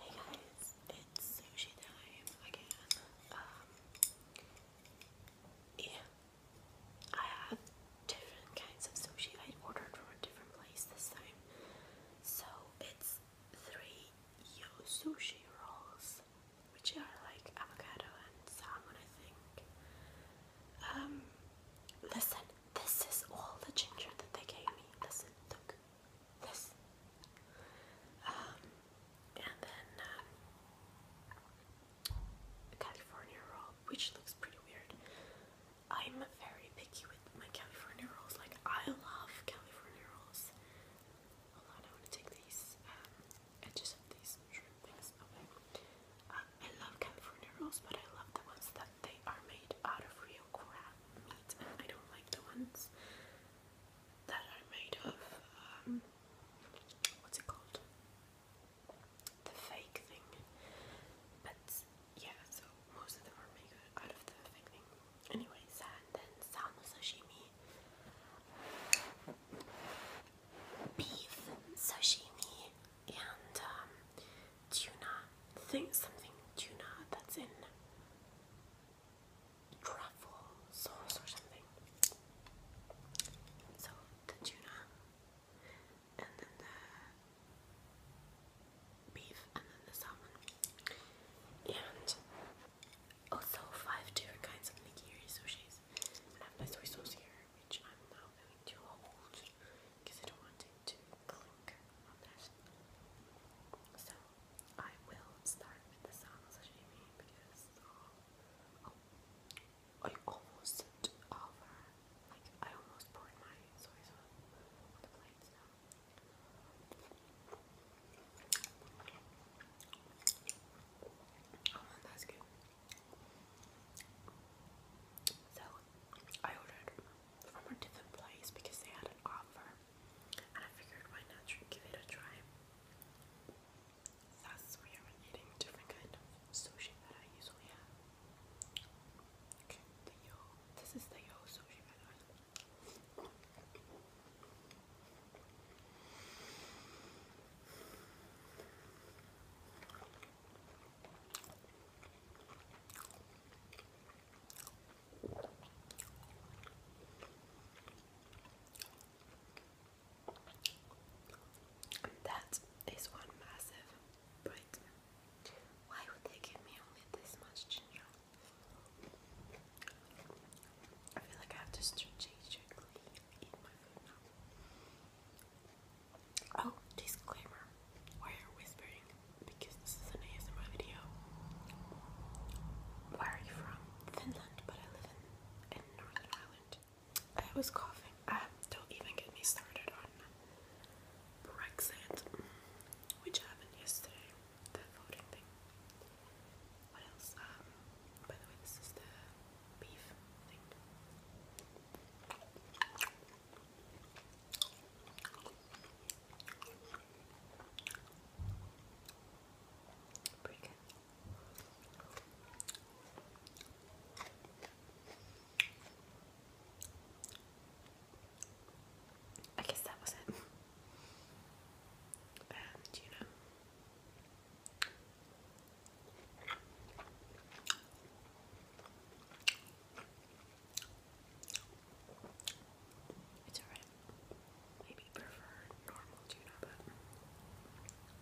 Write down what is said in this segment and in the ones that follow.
Hey guys, it's sushi time again. Um, yeah, I have different kinds of sushi. I ordered from a different place this time. So it's three yo sushi rolls, which are like avocado and salmon, I think. Um, listen, this is all the ginger that they gave me. Listen, look. Yes. Um, and then uh, California roll, which looks pretty weird. I'm very picky with my California rolls. Like I love California rolls. Hold on, I want to take these um, edges of these shrimp things. Okay. Um, I love California rolls, but I love the ones that they are made out of real crab meat, and uh, I don't like the ones that are made of um, what's it called? The fake thing. But yeah, so most of them are made out of the fake thing. Anyways, and then salmon sashimi, beef sashimi, and um, tuna thing, something tuna that's in truffle sauce or something. So the tuna, and then the beef, and then the salmon, and also five different kinds of nigiri sushis. I have soy sauce here, which I'm now going to because I don't want to so I will start with the sashimi because oh, oh, I almost sent over like I almost poured my soy sauce on the plate so Oh, that's good. So I ordered from a different place because they had an offer, and I figured why not give it a try. Thus, we are eating different kind of sushi that I usually have. the yo. This is the yo sushi, by the way. That is one massive bite. Why would they give me only this much ginger? I feel like I have to strategically eat my food now. Oh, disclaimer why are you whispering? Because this is an ASMR video. Where are you from? Finland, but I live in, in Northern Ireland. I was coughing. Uh, don't even get me started on Brexit, mm, which happened yesterday. The voting thing. What else? Um, this is the beef thing. Pretty I guess that was it. And you know. It's alright. Maybe prefer normal tuna, but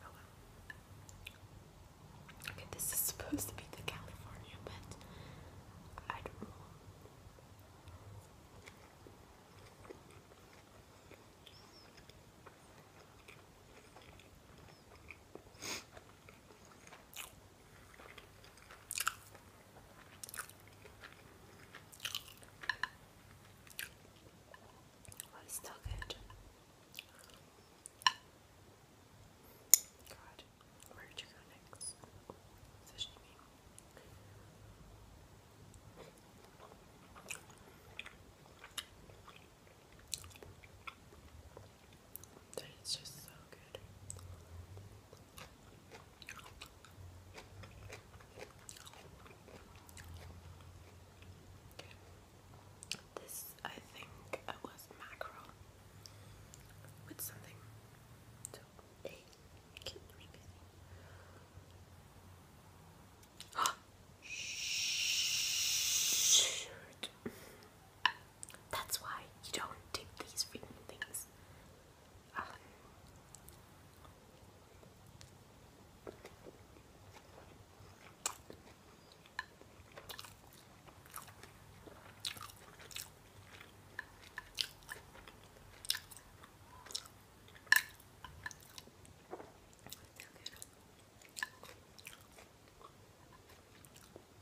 oh Okay, this is supposed to be the California, but I don't know. Oh, it's still good. God, where did you go next? Sashimi. That is just so good. This, I think, uh, was mackerel with something to eat. That's why you don't take these freaking things.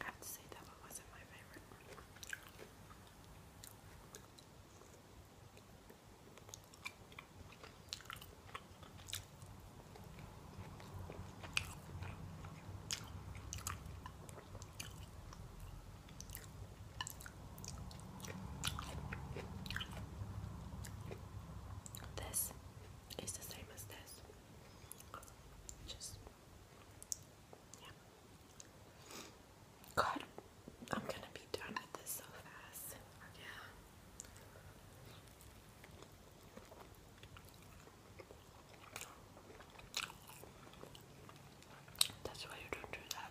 I have to say that one wasn't my favorite. This is the same as this. Just yeah. God, I'm gonna be done with this so fast. Yeah. That's why you don't do that.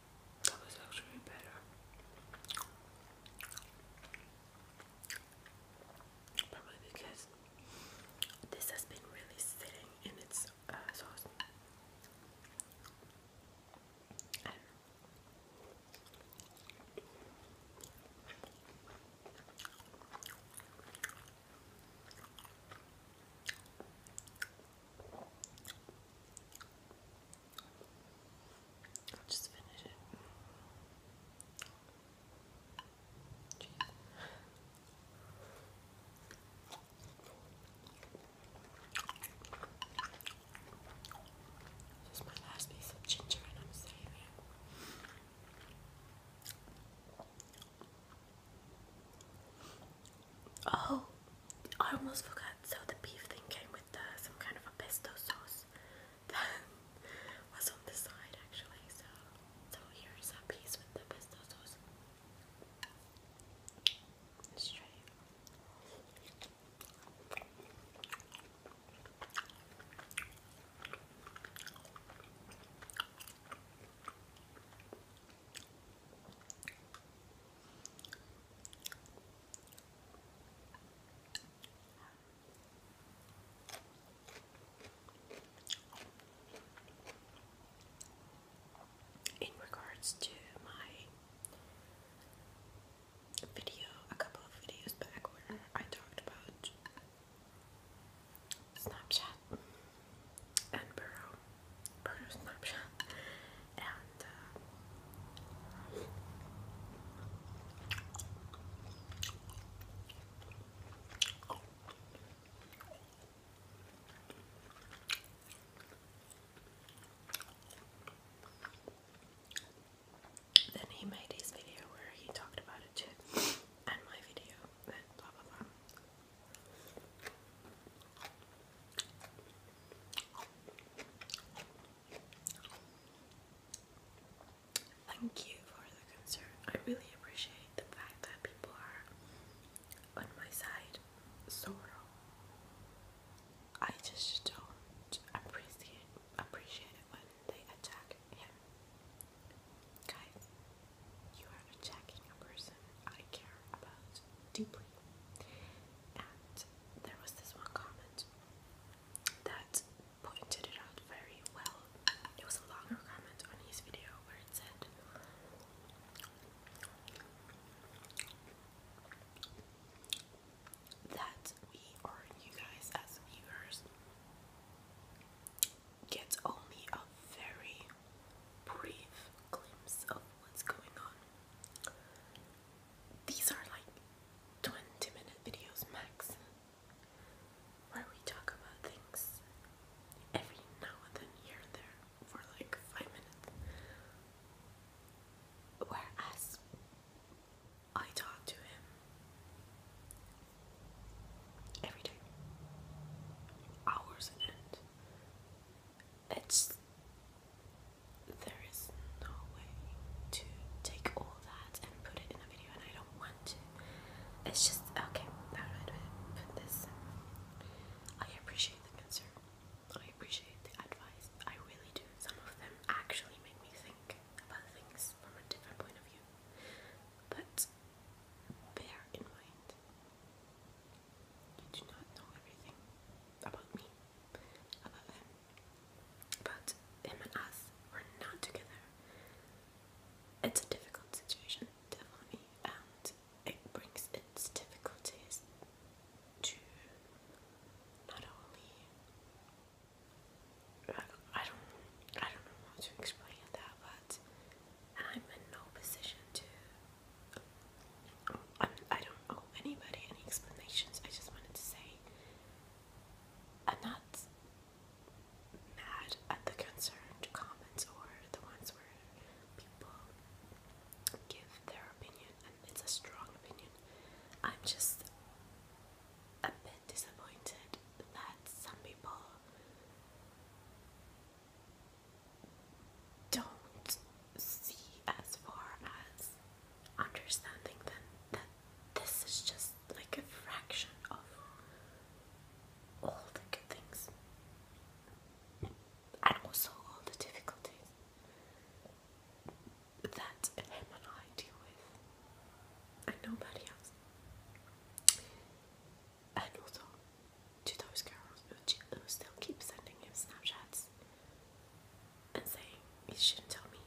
That was actually better. Probably because this has been really sitting in its uh, sauce. I'll just finish it. Jeez. my last piece of ginger and I'm saving it. Oh, I almost forgot. So the beef thing came with uh, some kind of a pesto sauce that was on the side actually. So, so here's a piece with the pesto sauce. let in regards to my video, a couple of videos back where I talked about Snapchat and Burrow, Burrow Snapchat, and uh, then he made his video where he talked about it too, and my video, and blah blah blah. Thank you for the concern. I really appreciate the fact that people are on my side. So I just don't appreciate appreciate when they attack him. Guys, you are attacking a person I care about deeply. And there was this one comment that pointed it out very well. It was a longer comment on his video where it said, that we you guys as viewers get only a very brief glimpse of what's going on. These are like 20 minute videos max where we talk about things every now and then here and there for like 5 minutes. Whereas I talk to him every day, hours in it's there is no way to take all that and put it in a video and I don't want to. It's just okay, how do I put this? I appreciate the concern. I appreciate the advice. I really do. Some of them actually make me think about things from a different point of view. But bear in mind you do not know everything about me, about him, but him and us were not together. It's a difficult situation, definitely, and it brings its difficulties to not only I don't I don't know how to explain that, but I'm in no position to I'm, I am do not owe anybody any explanations. I just wanted to say I'm not mad at the concerned comments or the ones where people give their opinion it's a strong opinion. I'm just a bit disappointed that some people don't see as far as understanding then that this is just like a fraction of all the good things and also all the difficulties that him and I deal with and nobody else. And also to those girls who, who still keep sending him Snapchats and saying he shouldn't tell me.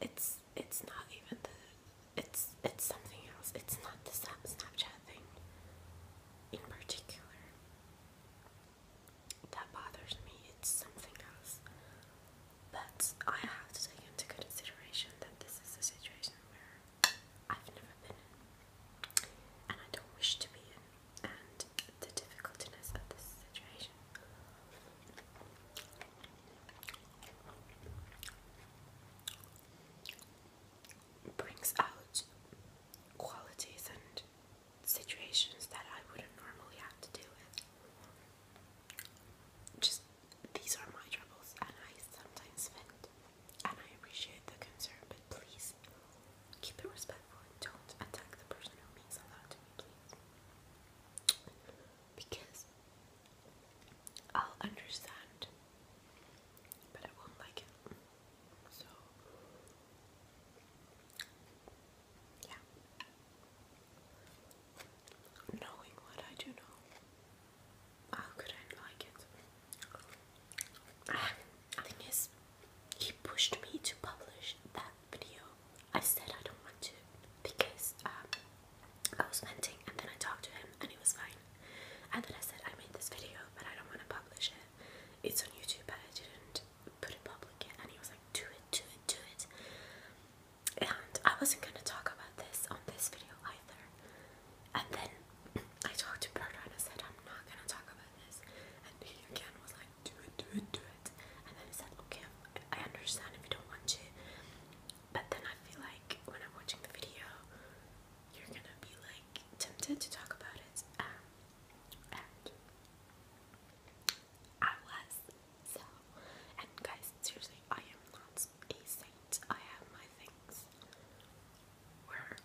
It's it's not even the it's it's something else. It's not the Snapchat thing in particular that bothers me. It's something else. But I have to take into consideration that this is a situation where I've never been in and I don't wish to be in, and the difficultiness of this situation. Brings out qualities and situations that I wouldn't normally have to deal with. Just these are my troubles, and I sometimes vent, and I appreciate the concern, but please keep it respectful don't attack the person who means a lot to me, please. Because I'll understand, but I won't like it. So, yeah knowing what I do know, how could I like it? Ah, thing is, he pushed me to publish that video. I said I don't want to because um, I was venting, and then I talked to him, and it was fine. And then I said I made this video, but I don't want to publish it. It's on YouTube, but I didn't put it public And he was like, "Do it, do it, do it." and I wasn't gonna talk about this on this video either. And then I talked to Berta and I said, I'm not gonna talk about this. And he again was like, do it, do it, do it. And then he said, okay, I understand if you don't want to. But then I feel like when I'm watching the video, you're gonna be like tempted to talk about it. Um, and I was. So, and guys, seriously, I am not a saint. I have my things where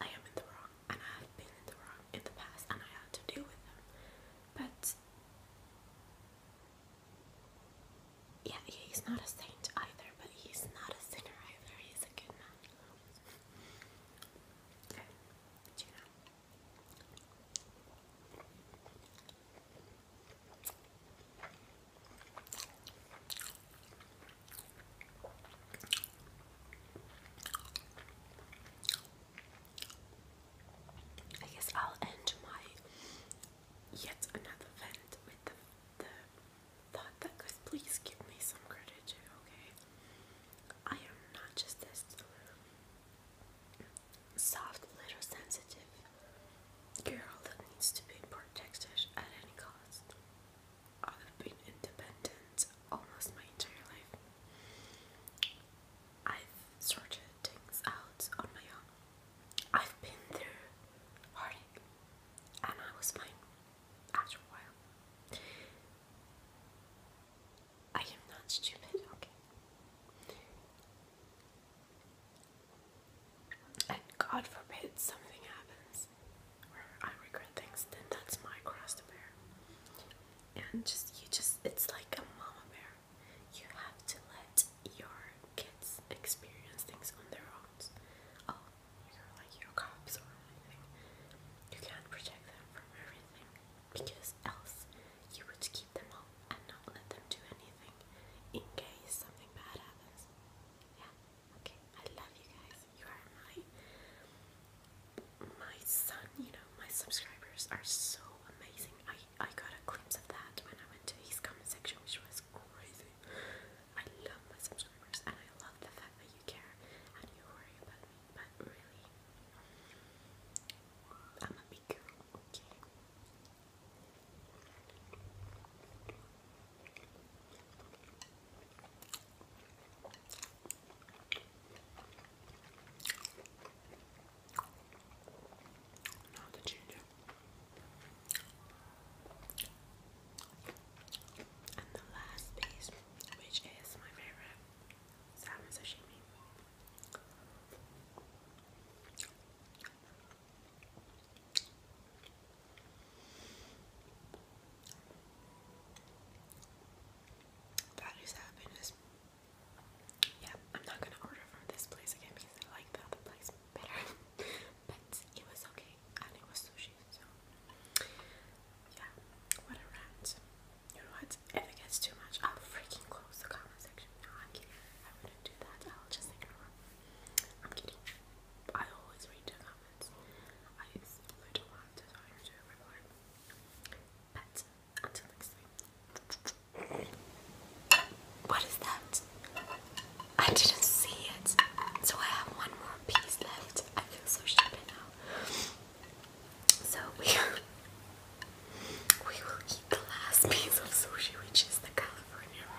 I am in the wrong, and I have been in the wrong in the past, and I had to deal with them. But yeah, he's not a saint either, but he's not a sinner either. He's a good man. Okay, did you know? I guess I'll end my yet another vent with the, thought that guys, please give me some credit okay? I am not just this soft little sensitive girl that needs to be protected at any cost. I've been independent almost my entire life. I've sorted things out on my own. I've been through heartache and I was fine after a while. I am not stupid, okay? And God forbid something happens where I regret things, then that's my cross to bear. And just, you just, it's like a mama bear. You have to let your kids experience things on their own. Oh, like your cops or anything. You can't protect them from everything because else you would keep them all and not let them do anything in case something bad happens. Yeah, okay. I love you guys. You are my my son, you know, my subscribers are so amazing. I, I got a of that when I went to his comment section, which was crazy. I love my subscribers and I love the fact that you care and you worry about me, but really I'm a week. Okay. the ginger and the last piece, which is my favorite salmon sashimi. That is happiness. Yeah, I'm not gonna order from this place again I like the other place better. but it was okay and it was sushi, so yeah, what a you know what? If it gets too much, I'll freaking close the comment section. No, I'm kidding. I wouldn't do that. I'll just ignore. I'm kidding. I always read comments. I don't want to tell you reply. But until next time. What is that? I didn't see it. So I have one more piece left. I feel so stupid now. So we we will eat the last piece of sushi, which is the California roll.